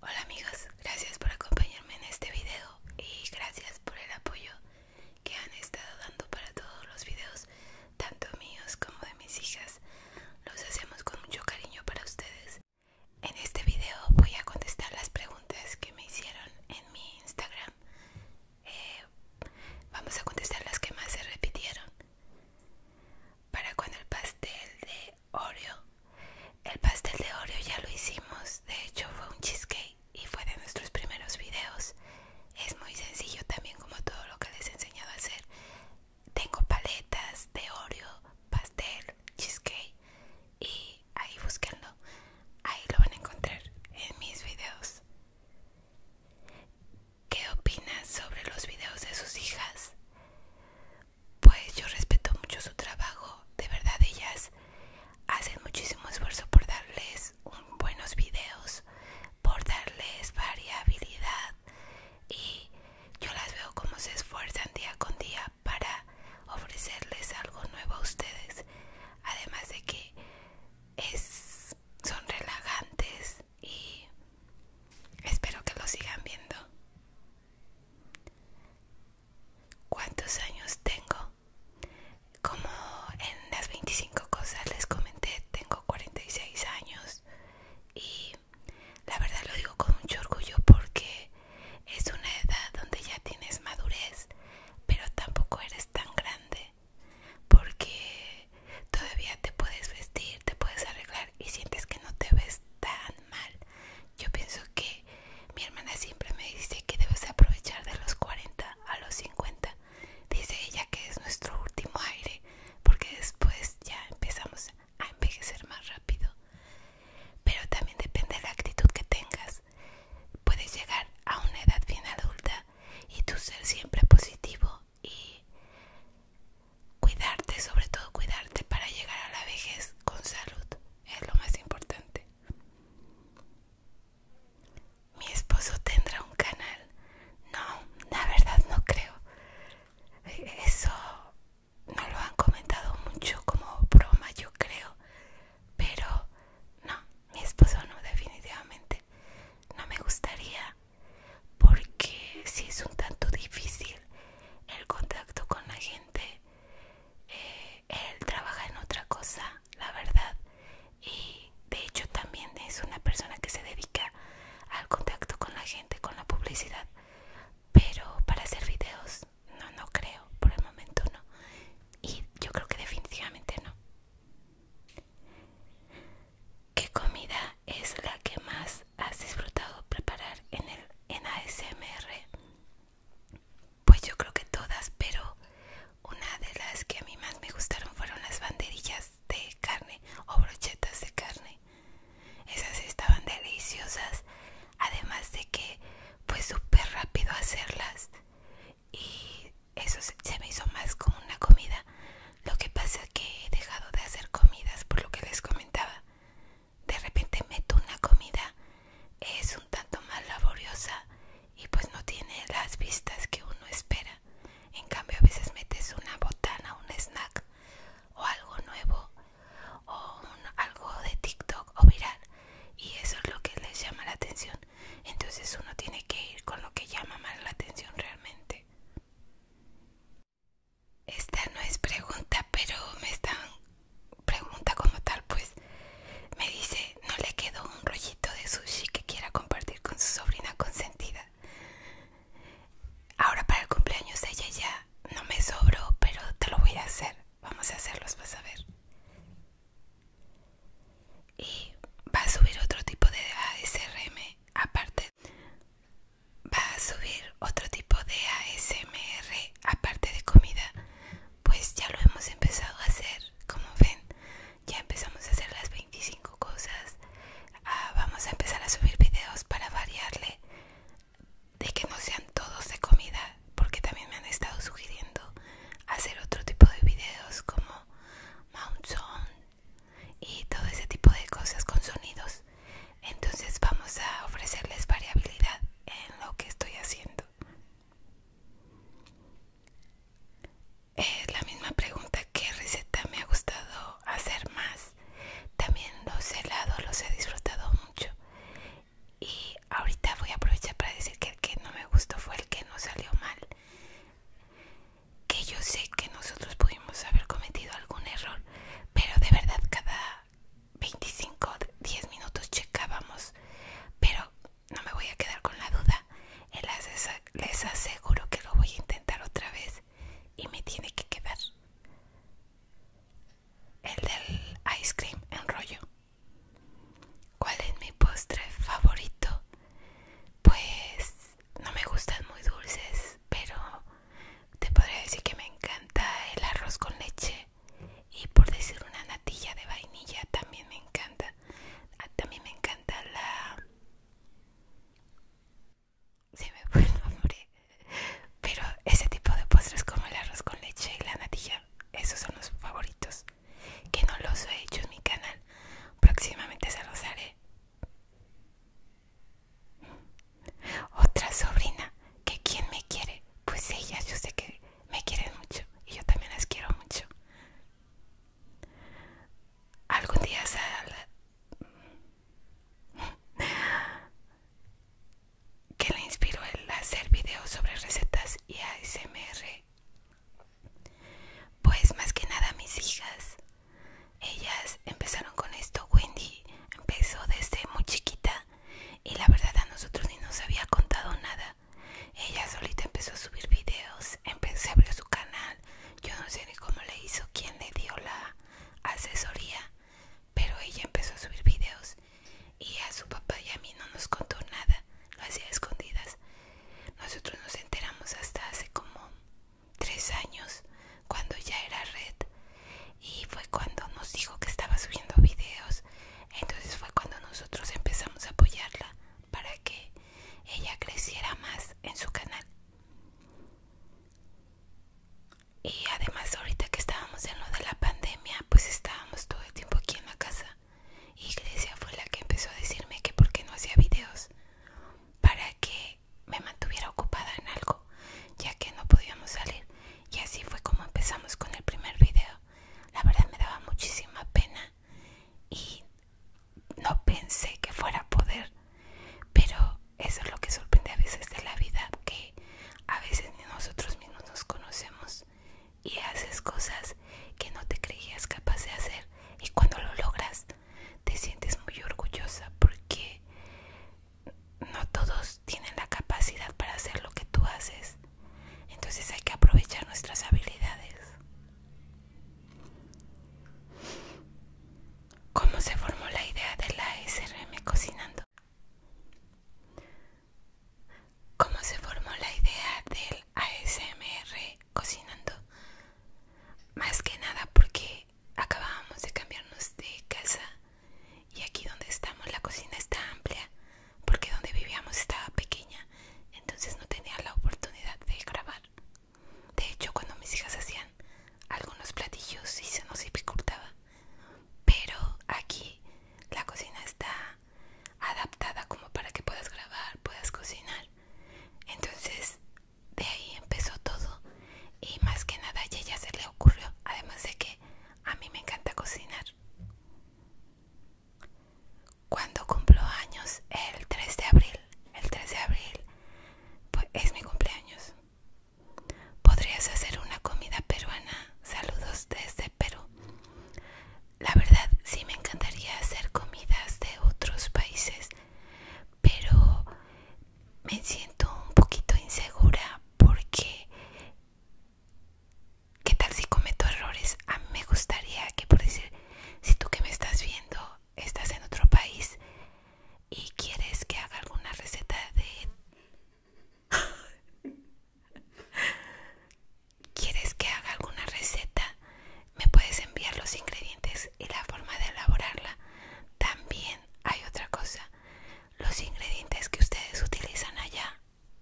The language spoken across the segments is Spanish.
Hola amigos, gracias por acompañarme en este video y gracias por el apoyo que han estado dando para todos los videos, tanto míos como de mis hijas. Los hacemos con mucho cariño para ustedes. En este video voy a contestar las preguntas que me hicieron en mi Instagram. Eh, vamos a contestar las que más se repitieron. ¿Para cuando el pastel de Oreo. El pastel de Oreo ya lo hicimos, de hecho fue un cheesecake y fue de nuestros primeros videos. Es muy sencillo también como todo lo que les he enseñado a hacer. Tengo paletas de Oreo, pastel, cheesecake y ahí buscando, Ahí lo van a encontrar en mis videos. ¿Qué opinas sobre los videos de sus hijas? pues yo respeto mucho su trabajo. De verdad, ellas hacen muchísimo esfuerzo por darles buenos videos, por darles variabilidad y yo las veo como se esfuerzan día con día para ofrecerles algo nuevo a ustedes. Además de que son relajantes, y espero que lo sigan viendo. ¿Cuántos años tengo? Como en las 25 cosas les comenté, tengo 46 años y la verdad lo digo con mucho orgullo porque es una edad donde ya tienes madurez, pero tampoco eres tan grande porque Todavía te puedes vestir, te puedes arreglar y sientes que no te ves tan mal. Yo pienso que mi hermana siempre me dice que debes aprovechar de los 40 a los 50. Dice ella que es nuestro último aire porque después ya empezamos a envejecer más rápido. Pero también depende de la actitud que tengas. Puedes llegar a una edad bien adulta y tu ser siempre positivo y cuidarte, sobre todo cuidarte para llegar a la vejez con salud, es lo más importante. Mi esposo tendrá un canal. No, la verdad no creo. Eso no lo han comentado mucho como broma, yo creo. Pero no, mi esposo no, definitivamente. No me gustaría porque si es un tanto difícil el contacto con la gente él eh, trabaja en otra cosa la verdad y de hecho también es una persona que se dedica al contacto con la gente con la publicidad pero para hacer videos no no creo por el momento no y yo creo que definitivamente no ¿Qué comida es la que más has disfrutado preparar en, el, ASMR? Pues yo creo que todas, pero una de las que a mí más me gustaron fueron las banderillas de carne o brochetas de carne. Esas estaban deliciosas, además de que fue pues, súper rápido hacerlas y eso se, me hizo más como una comida. Lo que pasa es que he dejado de hacer comidas por lo que les comentaba. De repente meto una comida, es un tanto más laboriosa y pues no tiene las vistas que uno espera. En cambio a veces metes una botana, un snack o algo nuevo o algo de TikTok o viral y eso es lo que les llama la atención entonces uno tiene que ir con lo que llama más la atención realmente. Esta no es pregunta, pero me están pregunta como tal, pues me dice, ¿no le quedó un rollito de sushi que quiera compartir con su sobrina consentida? Ahora para el cumpleaños de ella ya no me sobro pero te lo voy a hacer. Vamos a hacerlos, vas a ver y va a subir otro tipo de ASRM aparte va a subir otro tipo de ASMR aparte de comida pues ya lo hemos empezado a hacer como ven ya empezamos a hacer las 25 cosas ah, vamos a empezar a subir videos para variarle de que no sean todos de comida porque también me han estado sugiriendo hacer otro tipo de videos como mountain y todo ese tipo de cosas con sonidos. Entonces vamos a ofrecerles variabilidad en lo que estoy haciendo. Es la misma pregunta ¿Qué receta me ha gustado hacer más. También los helados los he disfrutado mucho. Y ahorita voy a aprovechar para decir que el que no me gustó fue el que no salió mal que yo sé que nosotros pudimos haber cometido algún error, pero de verdad cada 25 o 10 minutos checábamos, pero no me voy a quedar con la duda, les aseguro que lo voy a intentar otra vez y me tiene que quedar el del ice cream en rollo. ¿Cuál es mi postre favorito? Pues no me gustan muy dulces, pero te podría decir que me encanta el arroz con leche y por decir una natilla de vainilla también me encanta. Ah, también me encanta la... Se me fue el Pero ese tipo de postres como el arroz con leche y la natilla, esos son los favoritos que no los he hecho en mi canal. Próximamente se los haré. Otra sobrina, que quien me quiere, pues ellas yo sé que me quieren mucho y yo también las quiero mucho. Algún día que le inspiró el hacer videos sobre recetas y ASMR pues más que nada mis hijas. Ellas empezaron con esto. Wendy empezó desde muy chiquita y la verdad a nosotros ni nos había contado nada. Ella solita empezó a subir videos, empezó, abrió su canal. Yo no sé ni cómo le hizo, quién le dio la asesoría, pero ella empezó a subir videos y a su papá y a mí no nos contó nada, lo hacía escondidas. Nosotros nos enteramos hasta hace como tres años, cuando ya era red, y fue cuando nos dijo que estaba subiendo videos. Entonces fue cuando nosotros empezamos a apoyarla para que ella creciera más en su canal. Y además ahorita que estábamos en lo de la pandemia, pues estábamos todo el tiempo aquí en la casa iglesia fue la que empezó a decirme que por qué no hacía videos para que me mantuviera ocupada en algo ya que no podíamos salir y así fue como empezamos con el primer video la verdad me daba muchísima pena y no pensé que fuera a poder pero eso es lo que sorprende a veces de la vida que a veces ni nosotros mismos nos conocemos y haces cosas que no te creías capaz de hacer y cuando lo logras te sientes muy orgullosa porque no todos tienen la capacidad para hacer lo que tú haces. Entonces hay que aprovechar nuestras habilidades. ¿Cómo se formó la idea de la SRM cocinando? ¿Cómo se formó la idea del ASMR cocinando? Más que nada porque acabábamos de cambiarnos de casa y aquí donde estamos la cocina está amplia porque donde vivíamos estaba pequeña, entonces no tenía la oportunidad de grabar. De hecho, cuando mis hijas hacían algunos platillos y se nos dificultaba pero aquí la cocina está adaptada como para que puedas grabar, puedas cocinar. Entonces de ahí empezó todo y más que nada a ella se le ocurrió, además de que a mí me encanta cocinar. Cuando cumplo años, el 3 de abril, el 3 de abril pues es mi cumpleaños. ¿Podrías hacer una comida peruana? Saludos desde Perú. La verdad, sí me encantaría hacer comidas de otros países, pero me siento un poquito insegura porque ¿qué tal si cometo errores? A mí me gustaría que por decir, si tú que me estás viendo estás en otro país y quieres que haga alguna receta de ¿Quieres que haga alguna receta? Me puedes enviar los ingredientes y la forma de elaborarla. También hay otra cosa. Los ingredientes que ustedes utilizan allá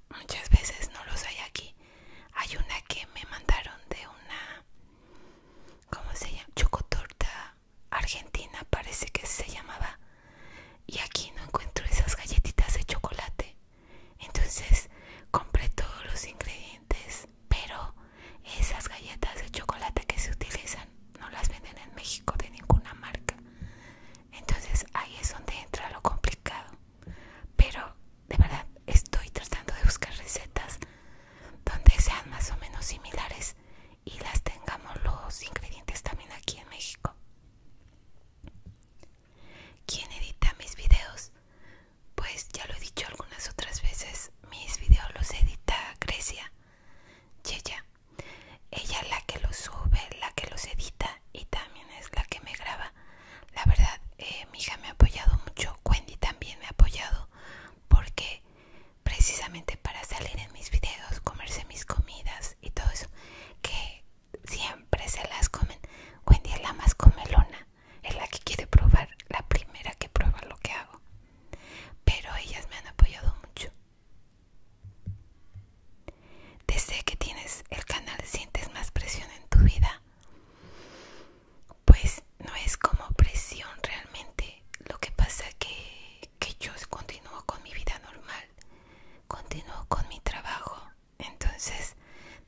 muchas veces no los hay aquí. Hay una que me mandaron de una... ¿Cómo se llama? Chocotorta Argentina parece que se llamaba. Y aquí no encuentro esas galletitas de chocolate. Entonces compré todos los ingredientes, pero esas galletas de chocolate que se utilizan no las venden en México de ninguna marca. Entonces ahí es donde entra lo complicado. Pero de verdad estoy tratando de buscar recetas donde sean más o menos similares y las tengamos los ingredientes también aquí en México. ¿Quién edita mis videos? Pues ya lo he dicho algunas otras veces, mis videos los edita Grecia, y Ella es la que los sube, la que los edita y también es la que me graba. La verdad, eh, mi hija me ha apoyado mucho, Wendy también me ha apoyado porque precisamente para salir en mis videos, comerse mis comidas y todo eso, que siempre se las comen. Wendy es la más comelona, es la que quiere probar, la primera que prueba lo que hago. Pero ellas me han apoyado mucho. Desde que tienes el canal sientes más presión en tu vida. Pues no es como presión realmente. Lo que pasa que que yo continúo con mi vida normal, continuo con mi trabajo. Entonces,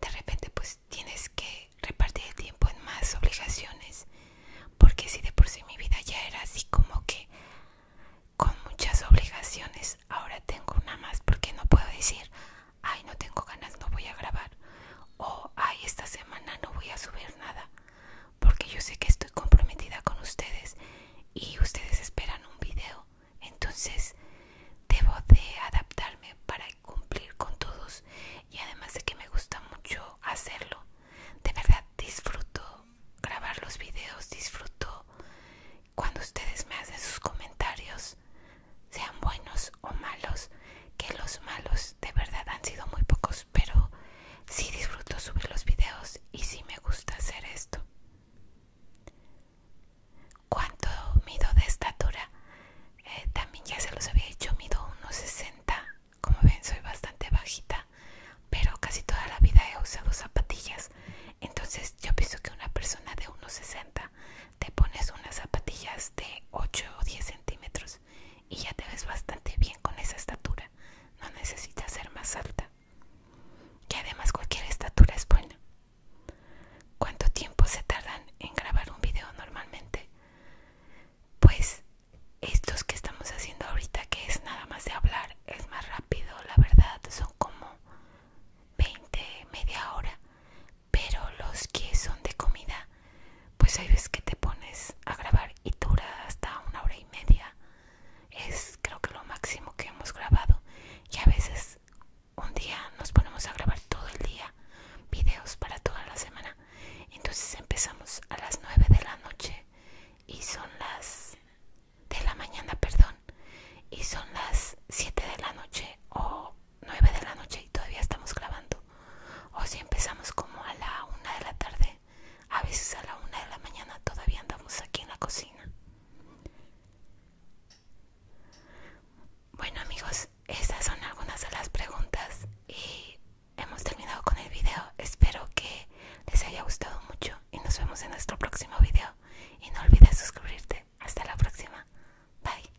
de repente, pues tienes que repartir el tiempo en más obligaciones, porque si de por sí mi vida ya era así como que con muchas obligaciones, ahora tengo una más, porque no puedo decir, ay, no tengo ganas, no voy a grabar, o ay, esta semana no voy a subir nada porque yo sé que estoy comprometida con ustedes y ustedes esperan un video entonces debo de adaptarme para cumplir con todos y además de que me gusta mucho hacerlo de verdad disfruto grabar los videos disfruto cuando ustedes me hacen sus comentarios sean buenos o malos que los malos de verdad han sido muy pocos pero sí disfruto subir los videos y sí me gusta hacer esto. ¿Cuánto mido de estatura? Eh, también ya se los había dicho, mido 1.60. Como ven, soy bastante bajita, pero casi toda la vida he usado zapatillas. Entonces, yo pienso que una persona de 1.60 te pones unas zapatillas de 8 o 10 centímetros y ya te ves bastante bien con esa estatura. No necesitas ser más alta. Y además cualquier estatura es buena. ¿Cuánto tiempo se tardan en grabar un video normalmente? Pues estos que estamos haciendo ahorita, que es nada más de hablar, es más rápido, la verdad, son como 20, media hora. Pero los que son de comida pues hay veces que te pones a grabar y dura hasta una hora y media. Es creo que lo máximo que hemos grabado. Y a veces un día nos ponemos a grabar todo el día, videos para toda la semana. Entonces empezamos a las nueve de la noche y son las de la mañana, perdón, y son las 7 de la noche o 9 de la noche y todavía estamos clavando O si empezamos como a la 1 de la tarde, a veces a la 1 de la mañana todavía andamos aquí en la cocina. Bueno amigos, estas son algunas de las preguntas y hemos terminado con el video. Espero que les haya gustado mucho y nos vemos en nuestro próximo video. Y no olvides suscribirte. Hasta la próxima. Bye.